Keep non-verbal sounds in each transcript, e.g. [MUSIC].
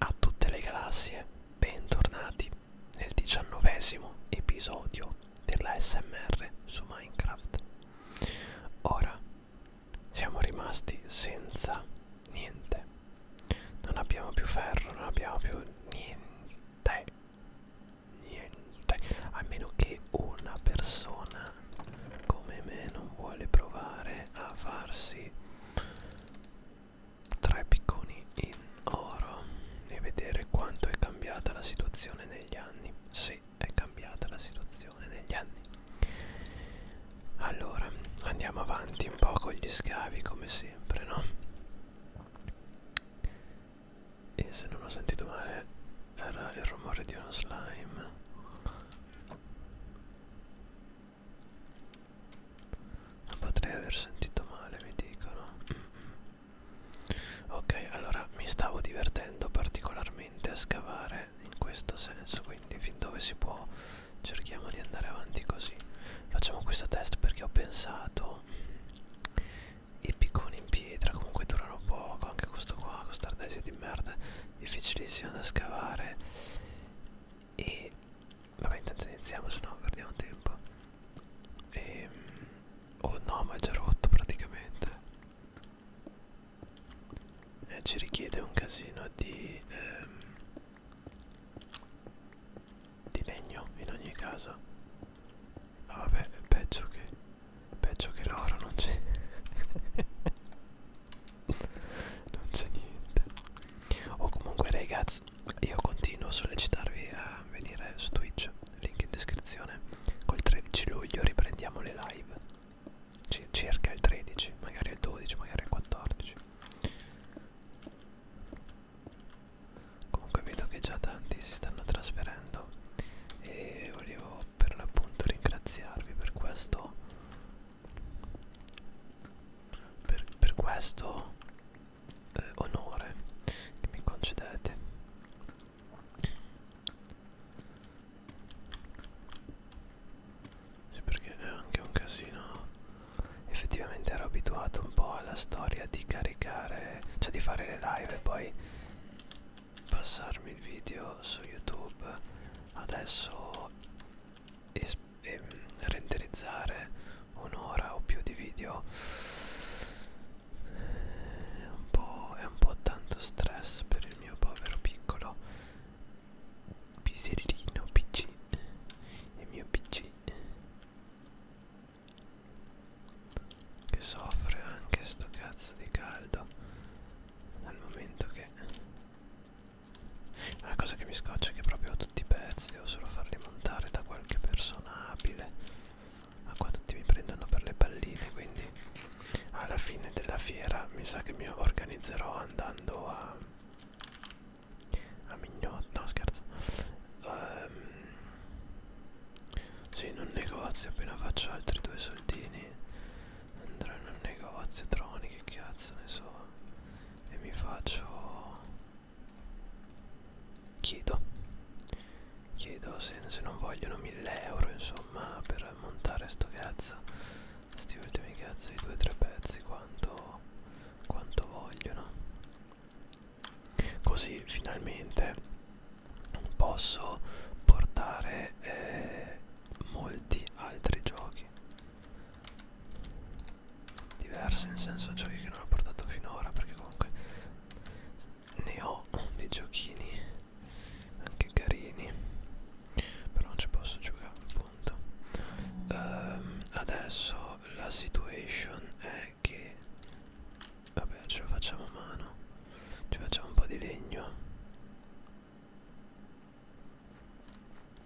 A tutte le galassie, bentornati nel diciannovesimo episodio della SMR su Minecraft. Ora siamo rimasti senza niente. Non abbiamo più ferro, non abbiamo più niente. Niente. A meno che una persona come me non vuole provare a farsi tre picconi in oro e vedere quanto è cambiata la situazione negli anni. Sì, è cambiata la situazione negli anni. Allora, andiamo avanti un po' con gli scavi come sempre, no? E se non ho sentito male, era il rumore di uno slime. Ma potrei aver sentito male, mi dicono. Mm -mm. Ok, allora mi stavo divertendo particolarmente a scavare in questo senso, quindi fin dove si può cerchiamo di andare avanti così. Facciamo questo test perché ho pensato i picconi in pietra comunque durano poco, anche questo qua, questo ardesia di merda, difficilissimo da scavare e Vabbè intanto iniziamo se no perdiamo tempo e, ehm, Oh no ma è già rotto praticamente eh, Ci richiede un casino di ehm, Di legno in ogni caso ah, Vabbè peggio che Peggio che l'oro non c'è [LAUGHS] Non c'è niente o oh, comunque ragazzi io continuo a sollecitarvi a venire su Twitch, link in descrizione. Col 13 luglio riprendiamo le live. C circa il 13, magari il 12, magari il 14. Comunque vedo che già tanti si stanno trasferendo e volevo per l'appunto ringraziarvi per questo per, per questo eh, onore che mi concedete sì perché è anche un casino effettivamente ero abituato un po' alla storia di caricare cioè di fare le live e poi passarmi il video su youtube adesso e, e renderizzare un'ora o più di video è un, po', è un po' tanto stress per il mio povero piccolo pisellino pc il mio pc che soffre anche sto cazzo di caldo al momento che la cosa che mi scoccia è che proprio tutti i pezzi devo solo farli montare da qualche persona abile. Ma qua tutti mi prendono per le palline, quindi alla fine della fiera mi sa che mi organizzerò andando a... a Mignot... no scherzo. Um, sì, in un negozio, appena faccio altri due soldini andrò in un negozio troni, che cazzo ne so, e mi faccio chiedo chiedo se, se non vogliono 1000 euro insomma per montare sto cazzo sti ultimi cazzo di due o tre pezzi quanto quanto vogliono così finalmente posso portare eh, molti altri giochi diverse in senso giochi che non ho portato finora perché comunque ne ho dei giochini anche carini però non ci posso giocare appunto um, adesso la situation è che vabbè ce lo facciamo a mano ci facciamo un po' di legno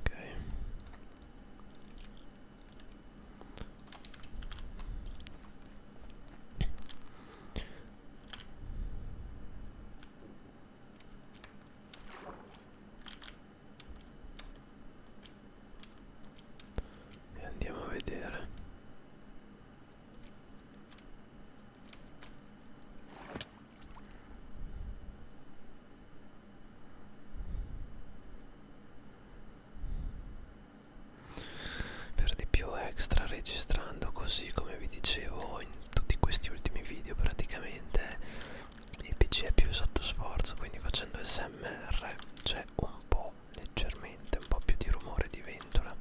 Ok. E andiamo a vedere per di più extra registrando così come vi dicevo in tutti questi ultimi video praticamente il pc è più sotto sforzo quindi facendo smr c'è un po leggermente un po più di rumore di ventola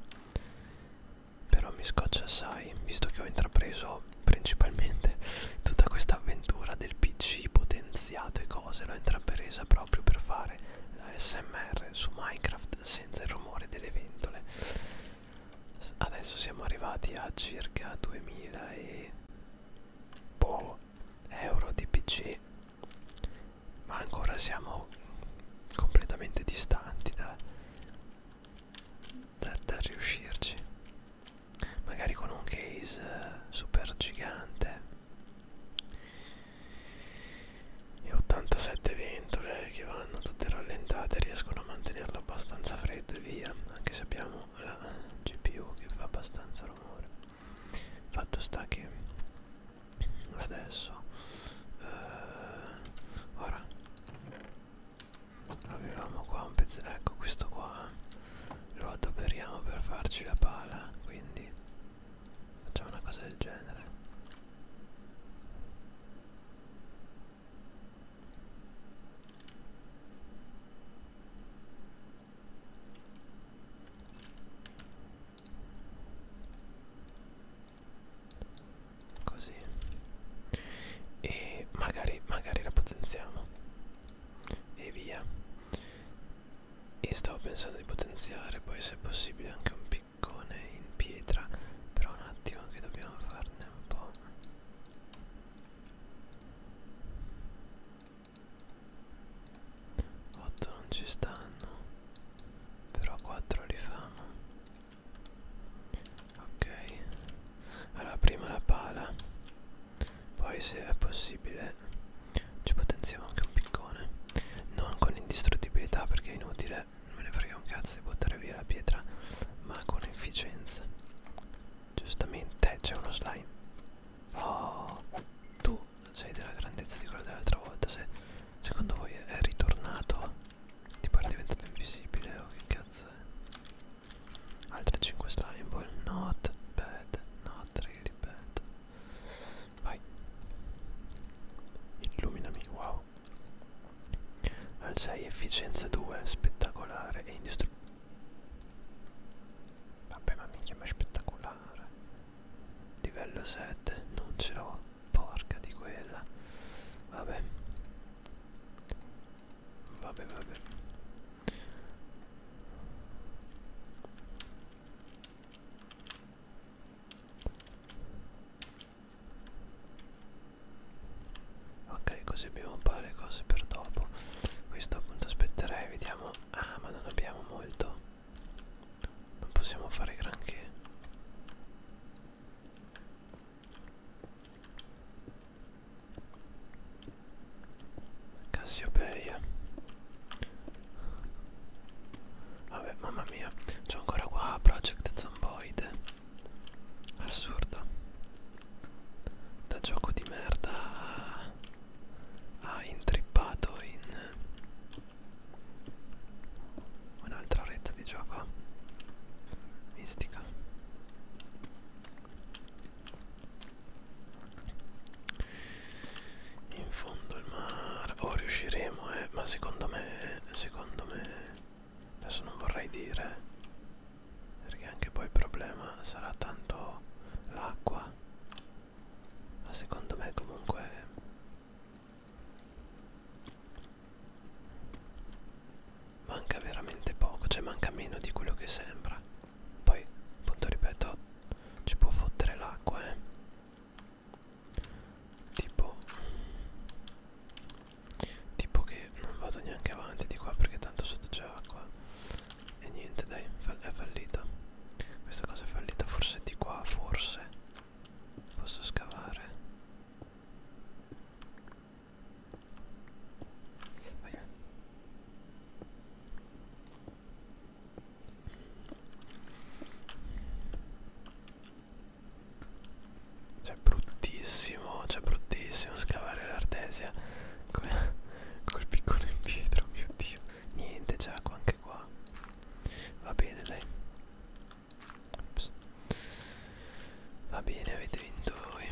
però mi scoccia assai visto che ho intrapreso principalmente [LAUGHS] tutta questa avventura del pc potenziato e cose l'ho intrapresa proprio per fare la smr su minecraft senza il rumore delle ventole adesso siamo arrivati a circa 2000 e boh, euro di pc ma ancora siamo completamente distanti da, per, per riuscirci magari con un case eh, super gigante e 87 ventole che vanno tutte rallentate riescono a mantenerlo abbastanza freddo e via anche se abbiamo la GPU che fa abbastanza rumore fatto sta che adesso eh, ora avevamo qua un pezzo ecco questo qua eh. lo adoperiamo per farci la pala quindi facciamo una cosa del genere così e magari magari la potenziamo e via e stavo pensando di potenziare poi se è possibile anche un piccone in pietra però un attimo che dobbiamo farne un po' Otto non ci stanno, però quattro li famo ok allora prima la pala poi se è possibile ci potenziamo anche un piccone non con indistruttibilità perché è inutile non me ne frega un cazzo di buttare via la pietra ma con efficienza giustamente c'è uno slime oh tu sei della grandezza di quello dell'altra volta se secondo voi è ritornato tipo era diventato invisibile o che cazzo è Altre 5 slime ball. Not bad. Not really bad. Vai. Illuminami. Wow. Al 6 efficienza 2. Spettacolare. E indistruttibile. Vabbè ma minchia ma è spettacolare. Livello 7. Non ce l'ho. Porca di quella. Vabbè. Vabbè, vabbè. Ok, così abbiamo un po' le cose per dopo. Questo appunto aspetterei, vediamo. Ah, ma non abbiamo molto. Non possiamo fare granché. Cassiopeia Vabbè mamma mia C'ho ancora qua Project Zomboid Assurdo Da gioco di merda Ha, ha intrippato in Un'altra retta di gioco Mistica in fondo il mare o oh, riusciremo eh ma secondo me secondo me adesso non vorrei dire perché anche poi il problema sarà tanto l'acqua ma secondo me comunque manca veramente poco cioè manca meno di quello che sembra poi appunto ripeto ci può fottere l'acqua eh tipo tipo che non vado neanche avanti di qua perché tanto sotto c'è acqua e niente dai è fallito questa cosa è fallita forse di qua forse posso scavare Okay. Cioè bruttissimo, cioè bruttissimo scavare l'artesia col, [LAUGHS] col piccolo in pietra, oh mio dio. Niente, c'è acqua anche qua. Va bene, dai. Ops. Va bene, avete vinto voi.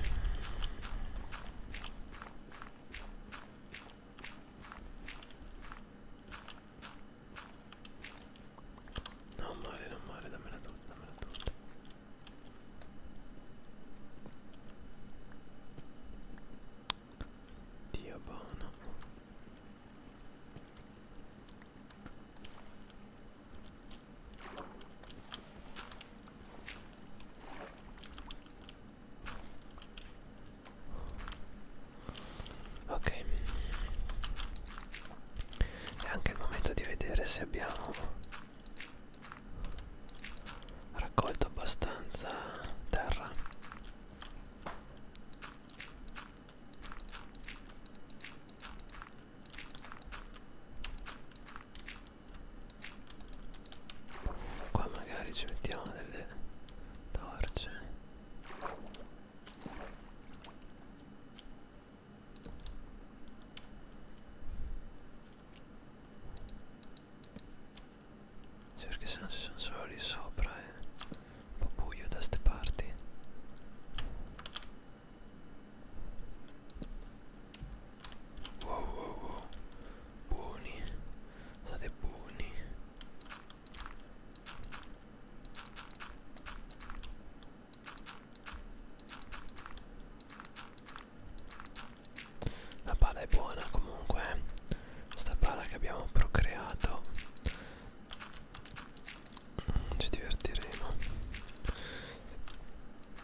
Non male, non male, dammela tutta, dammela tutta. Dio buono. Ok, è anche il momento di vedere se abbiamo raccolto abbastanza terra. Qua magari ci mettiamo delle torce. Sì, perché se no ci sono solo lì sopra è eh. un po' buio da ste parti. Wow wow wow Buoni State buoni La pala è buona comunque eh. Sta pala che abbiamo procreato mm, Ci divertiremo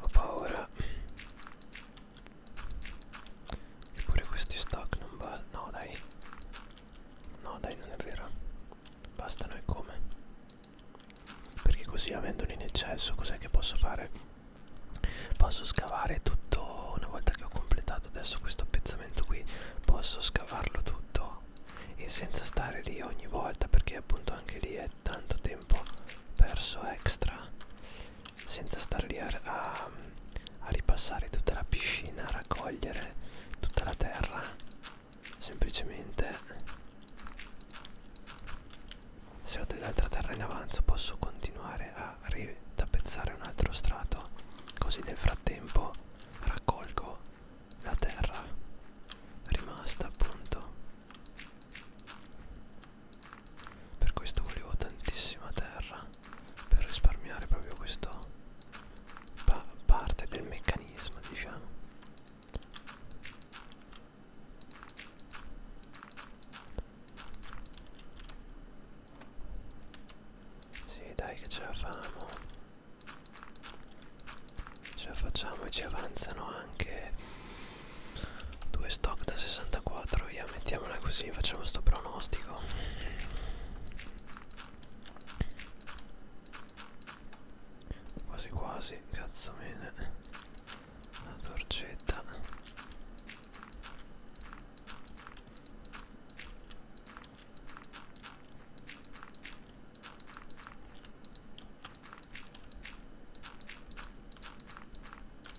Ho paura. Eppure questi stock non va. No dai. No dai, non è vero. Bastano e come. Perché così avendoli in eccesso, cos'è che posso fare? Posso scavare tutto una volta che ho completato adesso questo appezzamento qui. Posso scavarlo tutto e senza stare lì ogni volta perché appunto anche lì è tanto tempo perso extra senza star lì a, a, a ripassare tutta la piscina, a raccogliere tutta la terra, semplicemente se ho dell'altra terra in avanzo posso continuare a ritapezzare un altro strato, così nel frattempo raccolgo la terra rimasta appunto per questo volevo tantissima terra per risparmiare proprio questa pa parte del meccanismo, diciamo. Sì, dai che ce la famo. Ce la facciamo e ci avanzano anche Due stock da 64 via mettiamola così facciamo sto pronostico Quasi quasi cazzo bene La torcetta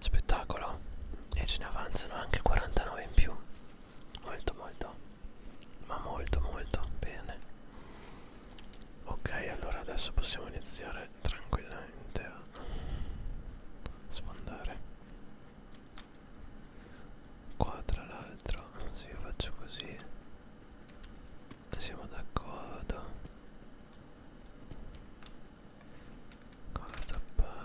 Spettacolo. E ce ne avanzano anche 49 in più. Molto molto. Ma molto molto bene. Ok, allora adesso possiamo iniziare tranquillamente a sfondare. Qua tra l'altro, se io faccio così siamo d'accordo ancora tappato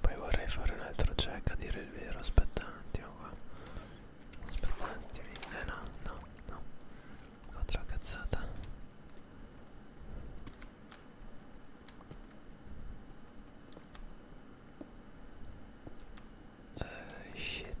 Poi vorrei fare un altro check a dire il vero, aspetta un attimo qua. Aspetta un attimo. Eh no, no, no. Ho fatto la cazzata. Uh, shit.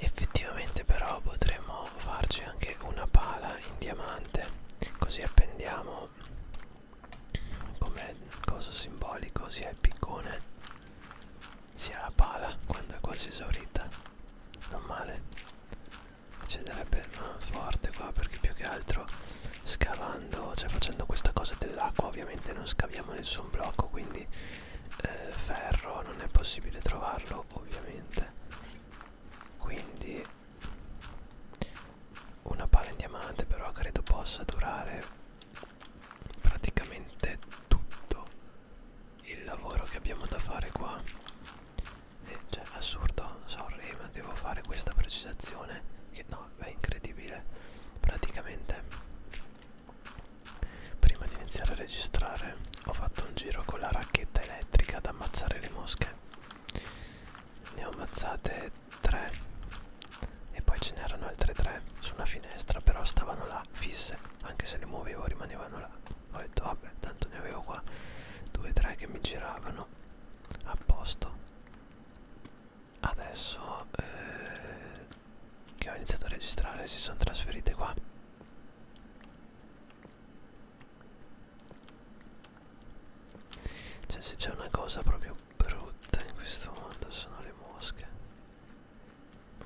Effettivamente però potremmo farci anche una pala in diamante così appendiamo come coso simbolico sia il piccone sia la pala quando è quasi esaurita non male cederebbe forte qua perché più che altro scavando cioè facendo questa cosa dell'acqua ovviamente non scaviamo nessun blocco quindi eh, ferro non è possibile trovarlo ovviamente quindi una pala in diamante però credo possa durare praticamente tutto il lavoro che abbiamo da fare qua eh, cioè assurdo sorry ma devo fare questa precisazione che no è incredibile praticamente prima di iniziare a registrare ho fatto un giro con la racchetta elettrica ad ammazzare le mosche ne ho ammazzate tre e poi ce n'erano altre tre su una finestra però stavano là fisse anche se le muovevo rimanevano là ho detto vabbè tanto ne avevo qua due o tre che mi giravano a posto adesso eh, che ho iniziato a registrare si sono trasferite qua cioè se c'è una cosa proprio brutta in questo mondo sono le mosche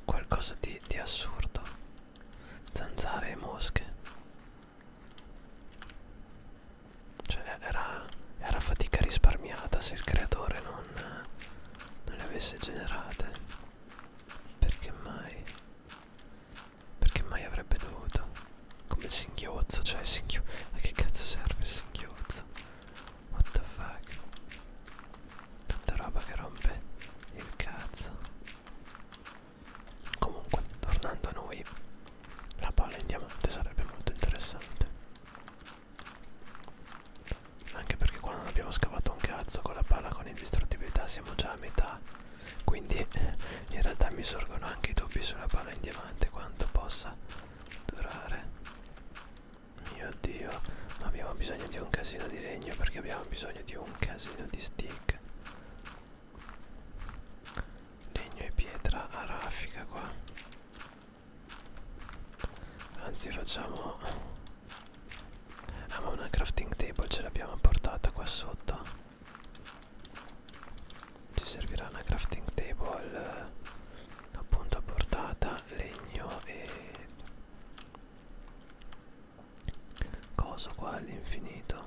qualcosa di, di assurdo zanzare e mosche cioè era, era fatica risparmiata se il creatore non, non le avesse generate. Perché mai? Perché mai avrebbe dovuto? Come il singhiozzo, cioè il singhiozzo. A che cazzo serve il singhiozzo? What the fuck? Tutta roba che rompe il cazzo. Comunque, tornando a noi, la palla in diamante sarebbe molto interessante. Anche perché qua non abbiamo scavato un cazzo con la palla con indistruttibilità, siamo già a metà. Quindi in realtà mi sorgono anche i dubbi sulla palla in diamante, quanto possa durare. Mio dio, ma abbiamo bisogno di un casino di legno perché abbiamo bisogno di un casino di stick legno e pietra a raffica qua anzi facciamo ah ma una crafting table ce l'abbiamo portata qua sotto ci servirà una crafting table appunto a portata legno e coso qua all'infinito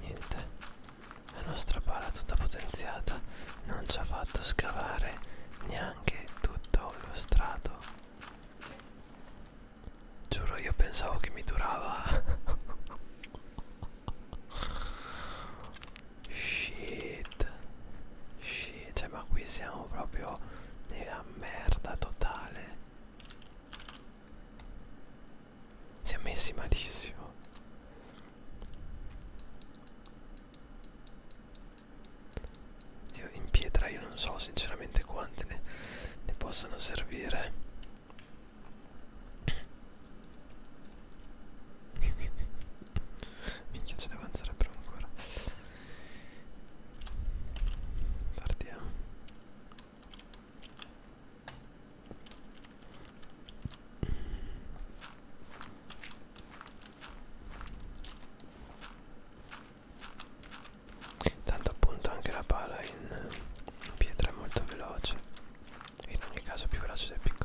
Niente, la nostra pala tutta potenziata non ci ha fatto scavare neanche tutto lo strato. Giuro, io pensavo che mi durava. Shit, shit, cioè, ma qui siamo proprio nella merda totale. Si è messi malissimo. Io in pietra io non so sinceramente quante ne, ne possano servire. [LAUGHS] Minchia ce ne avanzerebbero ancora. Partiamo. Tanto appunto anche la pala in, in pietra è molto veloce, in ogni caso più veloce del piccone.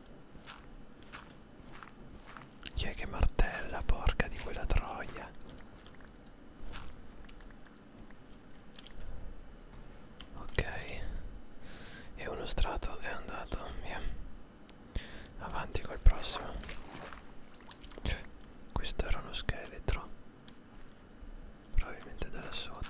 Chi è che martella, porca di quella troia? Ok, e uno strato è andato, via. Avanti col prossimo. Cioè, questo era uno scheletro. Probabilmente da là sotto.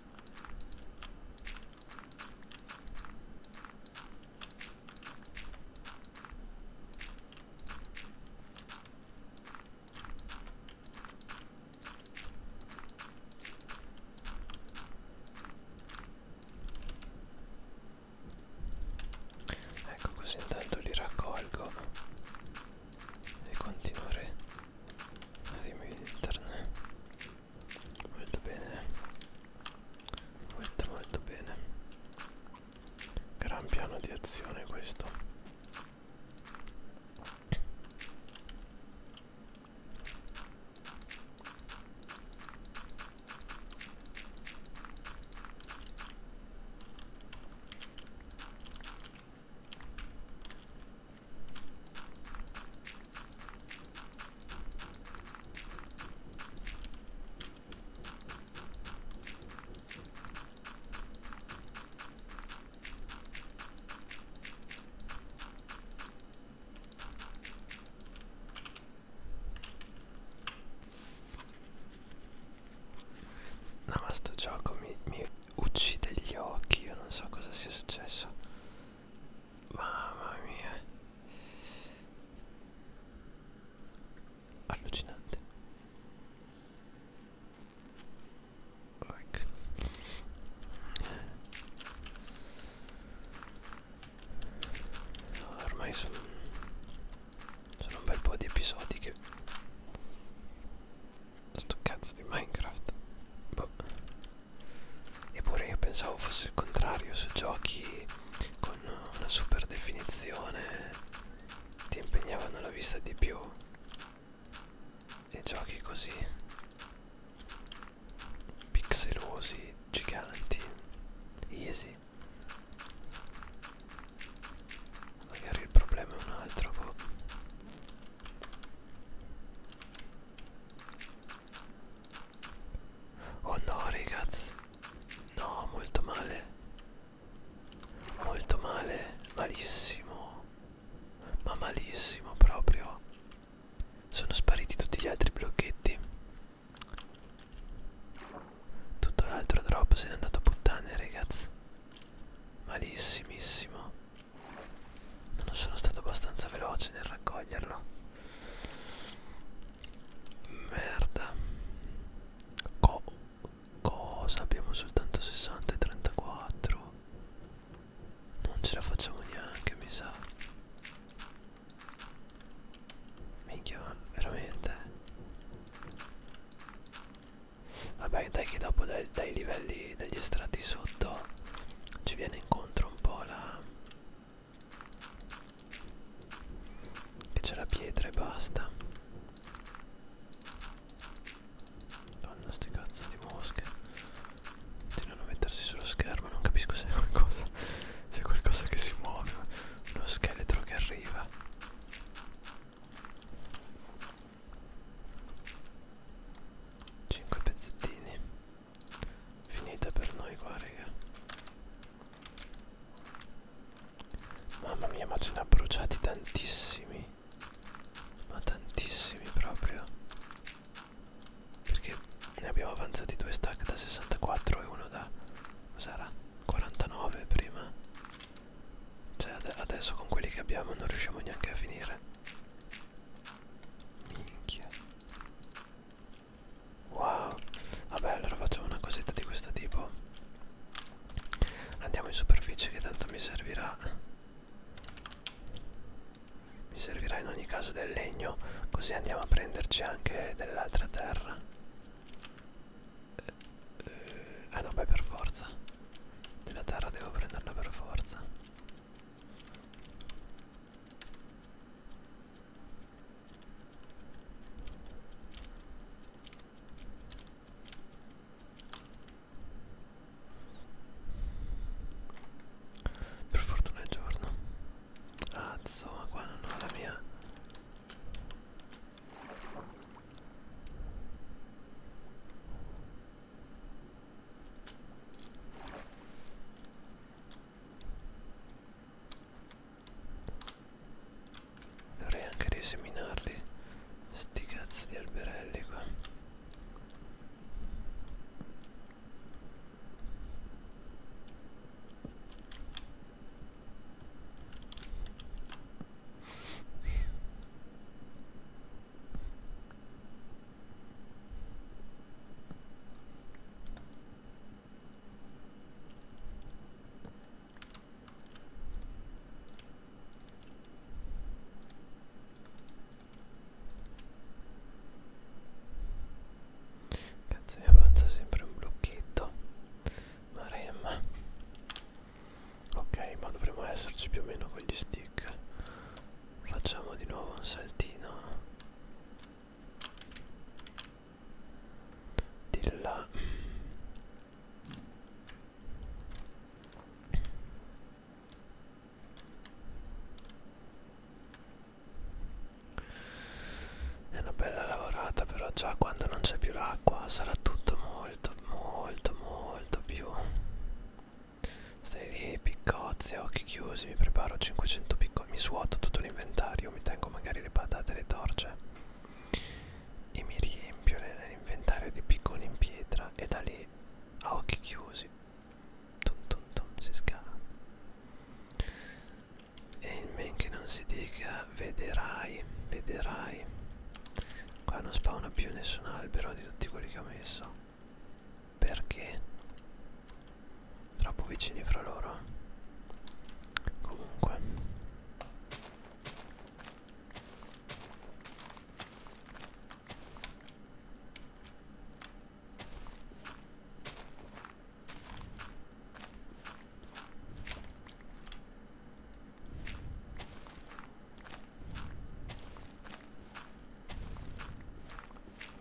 Ecco così intanto li raccolgo e continuare ad immettere molto bene molto molto bene gran piano di azione questo No ma sto gioco mi, mi uccide gli occhi, io non so cosa sia successo. Mamma mia Allucinante Ecco no, Ormai sono Sono un bel po' di episodi che Sto cazzo di Minecraft Boh Eppure io pensavo fosse il contrario su giochi con una super definizione ti impegnavano la vista di più e giochi così pixelosi, giganti, easy. Magari il problema è un altro, boh. Oh no ragazzi No molto male Molto male Malissimo Ma malissimo proprio Sono spariti tutti gli altri blocchetti Tutto l'altro drop se n'è andato a puttane ragazzi Malissimissimo non sono stato abbastanza veloce nel raccoglierlo merda Co cosa abbiamo soltanto 60 e 34 non ce la facciamo neanche mi sa minchia ma veramente vabbè dai che dopo dai, dai livelli degli strati sotto ci viene incontro un po' la che c'è la pietra e basta. Fanno sti cazzo di mosche. Continuano a mettersi sullo schermo, non capisco se è qualcosa. Se è qualcosa che si muove. Uno scheletro che arriva. Cinque pezzettini finita per noi qua raga mamma mia ma ce ne ha bruciati tantissimi ma tantissimi proprio perché ne abbiamo avanzati due stack da 64 e uno da cos'era 49 prima cioè ad adesso con quelli che abbiamo non riusciamo neanche a finire minchia Wow Vabbè allora facciamo una cosetta di questo tipo Andiamo in superficie che tanto mi servirà Mi servirà in ogni caso del legno Così andiamo a prenderci anche dell'altra terra eh, eh, Ah no beh per forza Della terra devo prenderla per forza per fortuna è giorno. Ah, insomma, qua non ho la mia. Dovrei anche riseminarli sti cazzo di alberelli qua Cazzo mi avanza sempre un blocchetto. Maremma. Ok, ma dovremmo esserci più o meno con gli stick. Facciamo di nuovo un saltino della è una bella lavorata però già quando non c'è più l'acqua sarà tutto molto molto molto più stai lì più piccozze a occhi chiusi mi preparo 500 piccoli mi suoto tutto l'inventario mi tengo magari le patate le torce e mi riempio l'inventario di piccoli in pietra e da lì a occhi chiusi tum tum tum si scava e in men che non si dica vederai vederai qua non spawna più nessun albero di tutti quelli che ho messo perché troppo vicini fra loro comunque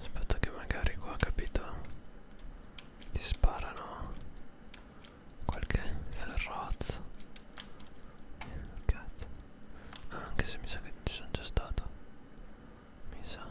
Aspetta che magari qua, capito? Ti sparano qualche ferrozzo. Cazzo. Ah, anche se mi sa che ci sono già stato. Mi sa.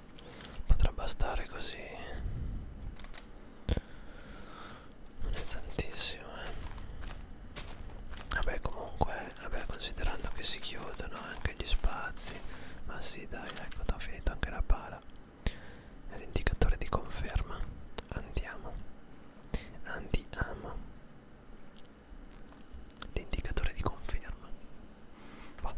potrebbe stare così non è tantissimo eh. vabbè comunque vabbè, considerando che si chiudono anche gli spazi ma sì dai ecco ho finito anche la pala è l'indicatore di conferma andiamo andiamo l'indicatore di conferma va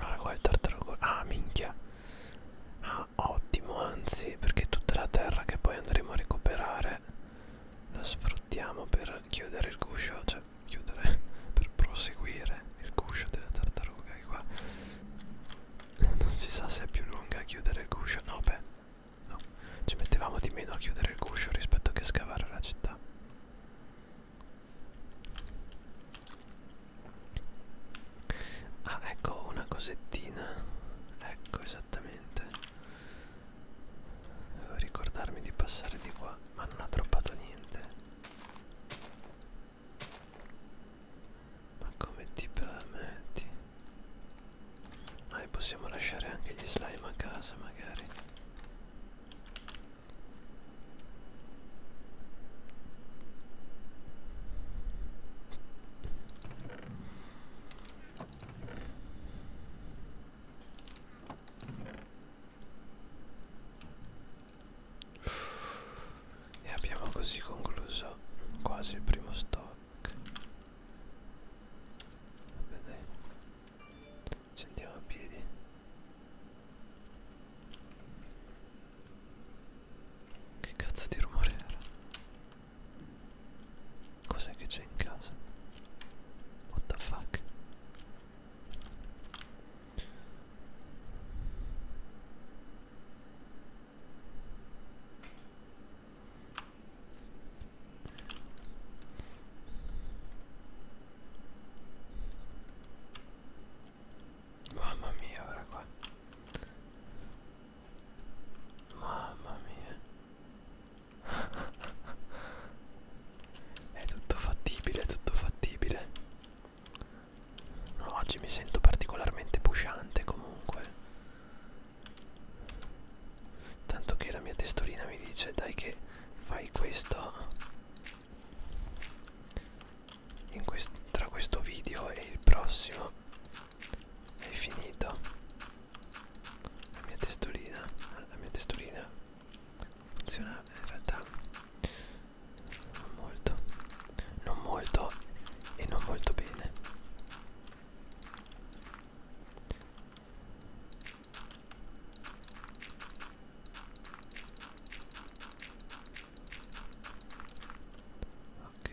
allora qua il tartaruga Ah minchia Ah ottimo anzi perché tutta la terra che poi andremo a recuperare La sfruttiamo per chiudere il guscio Cioè per chiudere, per proseguire il guscio della tartaruga che qua non si sa se è più lunga a chiudere il guscio, no beh, no, ci mettevamo di meno a chiudere il guscio rispetto che scavare la città. Ah ecco una cosettina, ecco esattamente, devo ricordarmi di passare di qua, ma non ha droppato niente. Ma come ti permetti? Ma possiamo lasciare anche gli slime a casa magari. E abbiamo così concluso quasi il primo stock. Vabbè dai. Ci andiamo a piedi. Che cazzo di rumore era? Cos'è che c'è in casa? What the fuck? Mamma mia, ora qua. Mamma mia. [LAUGHS] è tutto fattibile, è tutto fattibile. No, oggi mi sento particolarmente pushante comunque. Tanto che la mia testolina mi dice dai che fai questo in quest tra questo video e il prossimo è finito la mia testolina la mia testolina funziona in realtà non molto non molto e non molto bene ok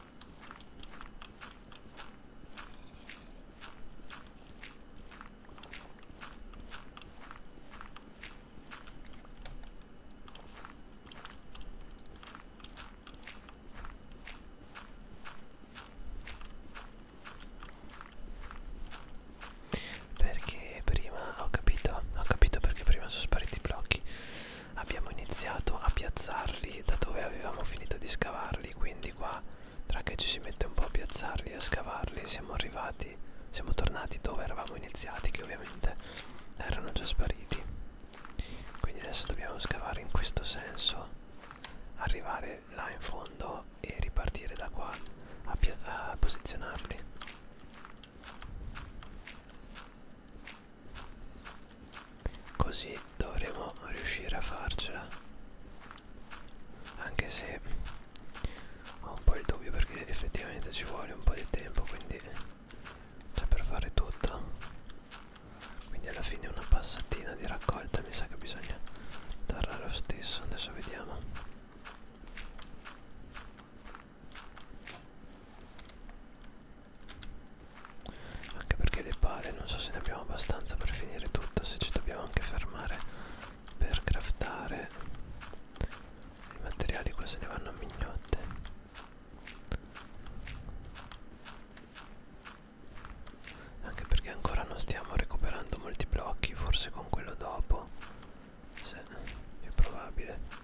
Perché prima ho capito, ho capito perché prima sono spariti i blocchi abbiamo iniziato a piazzarli da dove avevamo finito di scavarli quindi qua tra che ci si mette un po' a piazzarli e a scavarli siamo arrivati siamo tornati dove eravamo iniziati che ovviamente erano già spariti quindi adesso dobbiamo scavare in questo senso arrivare là in fondo e ripartire da qua a, a posizionarli Così dovremo riuscire a farcela. Anche se ho un po' il dubbio perché effettivamente ci vuole un po' di tempo, quindi cioè per fare tutto. Quindi alla fine una passatina di raccolta mi sa che bisogna darla lo stesso. Adesso vediamo. Anche perché le pale non so se ne abbiamo abbastanza per finire tutto, se ci dobbiamo anche fermare per craftare i materiali qua se ne vanno a mignotte. Anche perché ancora non stiamo recuperando molti blocchi, forse con quello dopo, se è più probabile.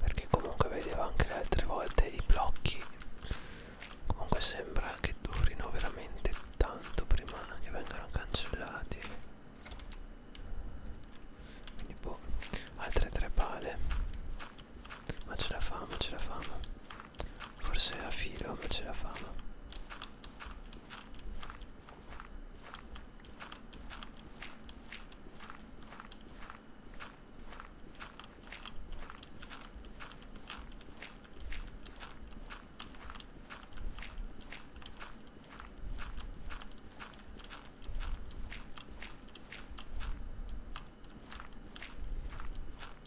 perché comunque vedevo anche le altre volte i blocchi comunque sembra che durino veramente tanto prima che vengano cancellati quindi boh altre tre pale ma ce la famo ce la famo Forse a filo ma ce la fanno.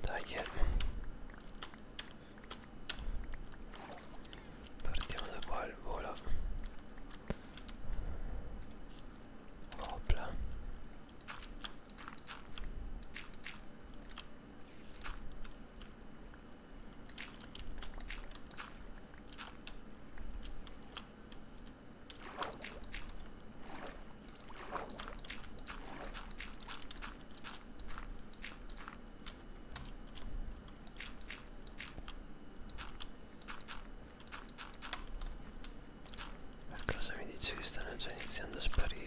Dai, partiamo da qua il volo. Opla. Per cosa mi dice che stanno già iniziando a sparire?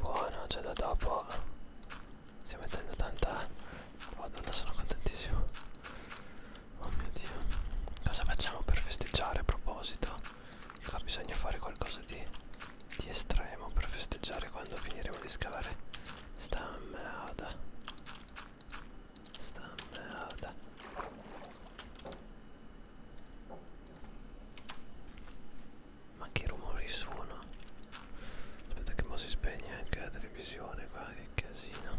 Buono, già cioè da dopo. Stiamo mettendo tanta... Madonna, sono contentissimo. Oh mio Dio. Cosa facciamo per festeggiare a proposito? Qua bisogna fare qualcosa di, di estremo per festeggiare quando finiremo di scavare. Sta merda. Sta merda. Ma che rumori sono? Aspetta che mo si spegne anche la televisione qua, che casino.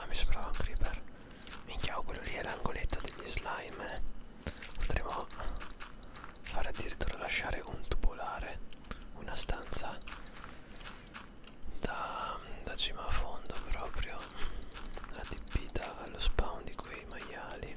Ah mi sembrava un creeper Minchia quello lì è l'angoletto degli slime eh. Potremmo a fare addirittura lasciare un tubolare Una stanza da, da cima a fondo proprio adibita allo spawn di quei maiali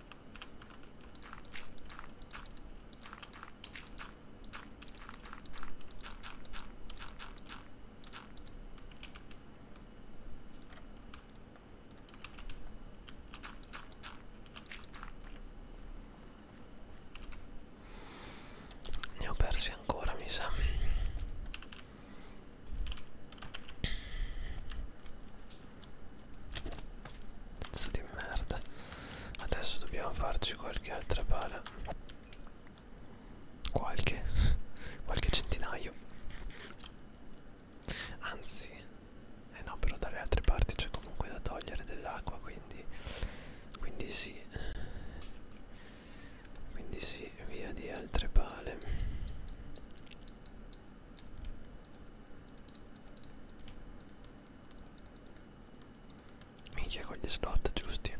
Ne ho persi ancora, mi sa. Pezzo di merda. Adesso dobbiamo farci qualche altra pala. Qualche. Qualche centinaio. Anzi. Eh no, però dalle altre parti c'è comunque da togliere dell'acqua, quindi... Quindi sì. Quindi sì, via di altre pale. Minchia con gli slot giusti.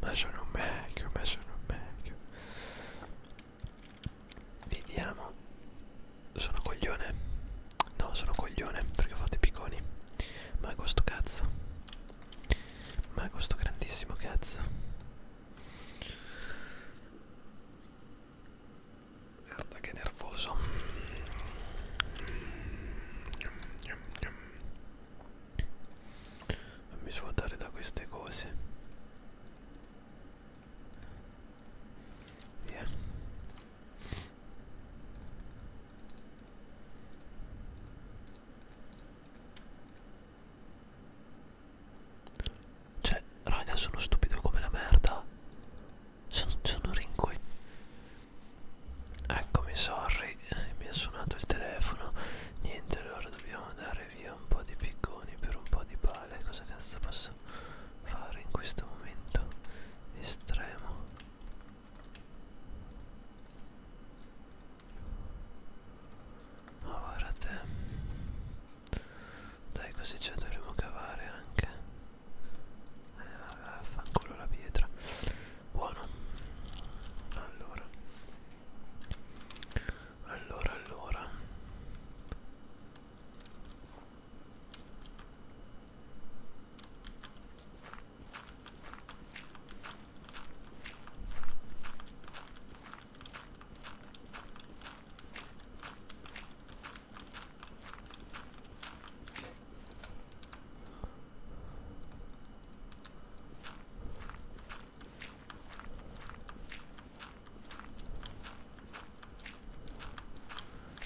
Ma sono un vecchio, ma sono un vecchio. Vediamo. Sono coglione. No, sono coglione perché ho fatto i picconi. Ma questo cazzo. Ma questo grandissimo cazzo. Guarda che nervoso. Non mi svuotare da queste cose. Via. Cioè, raga, sono stupido come la merda. Sono, sono ringue. Eccomi, sorry, eh, mi ha suonato il telefono. Niente, allora dobbiamo dare via un po' di picconi per un po' di pale. Cosa cazzo posso fare in questo momento estremo? Ma guarda te. Dai così ce la dovremo cavare anche Eh vabbè affanculo la pietra Buono Allora Allora allora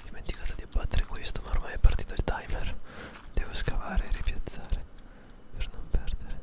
Dimenticato di abbattere questo, ma ormai è partito il timer. Devo scavare e ripiazzare per non perdere.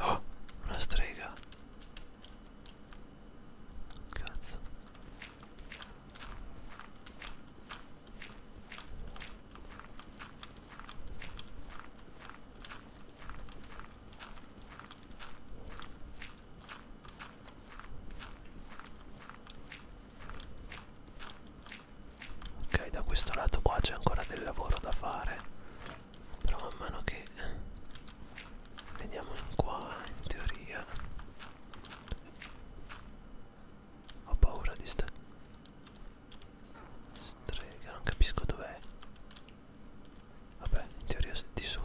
Oh, una strega. Cazzo. Ok, da questo lato qua c'è ancora del lavoro da fare, però man mano che veniamo in qua, in teoria, ho paura di sta strega, non capisco dov'è. Vabbè, in teoria di sotto.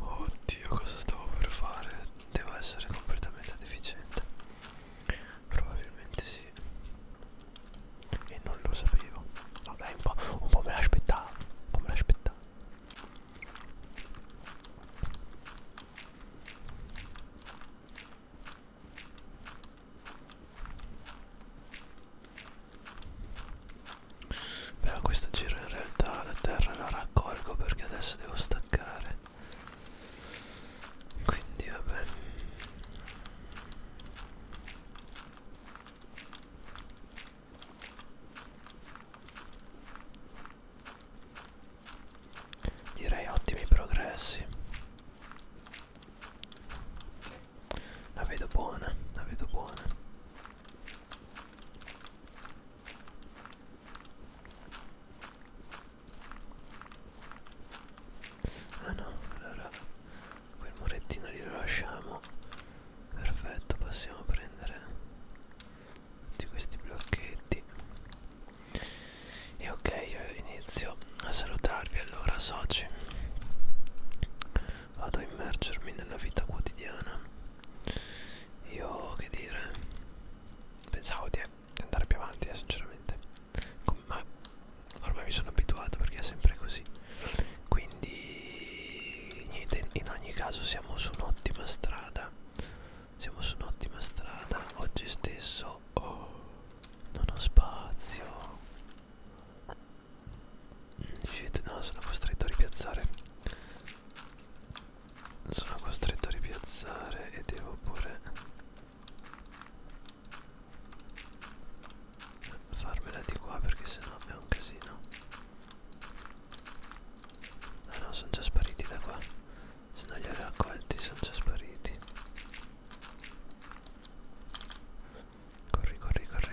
Oddio, cosa stavo per fare? Devo essere completamente deficiente. Probabilmente sì. E non lo sapevo. Vabbè, un po', un po me l'aspettavo. Un po' me l'aspettavo però questo giro in realtà la terra la raccolgo perché adesso devo staccare quindi vabbè direi ottimi progressi la vedo buona la vedo buona Ah no, allora quel murettino lì lo lasciamo. Perfetto, possiamo prendere tutti questi blocchetti. E ok, io inizio a salutarvi allora soci vado a immergermi nella vita quotidiana io che dire pensavo di andare più avanti eh, sinceramente Com ma ormai mi sono abituato perché è sempre così quindi niente in ogni caso siamo su un'ottima strada siamo su un'ottima strada oggi stesso oh, non ho spazio Shit, no, sono costretto a ripiazzare. Sono costretto a ripiazzare e devo pure farmela di qua perché sennò è un casino. Ah no, sono già spariti da qua. Se non li ho raccolti sono già spariti. Corri, corri, corri.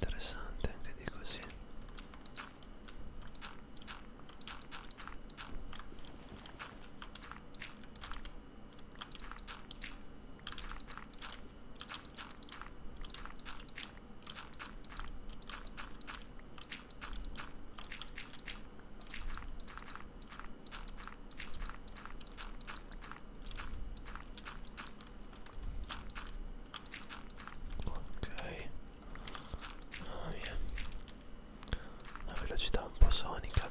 Interessante anche di così. Ok, mamma mia, la velocità un po' sonica.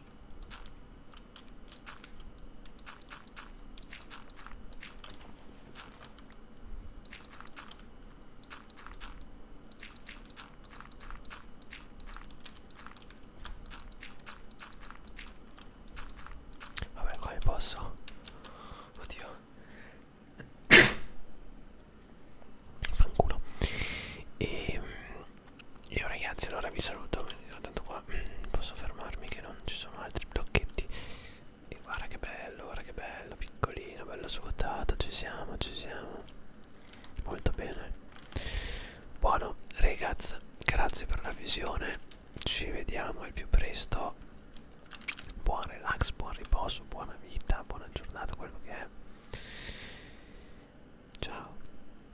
Vabbè, come posso? Oddio. [COUGHS] Fanculo. E ehm, io ragazzi allora vi saluto, ah, tanto qua posso fermarmi che non ci sono altri blocchetti. E guarda che bello, guarda che bello, piccolino, bello svuotato, ci siamo, ci siamo. Molto bene. Buono, ragazzi, grazie per la visione, ci vediamo al più presto. Buon relax, buon riposo, buona vita, buona giornata, quello che è. Ciao.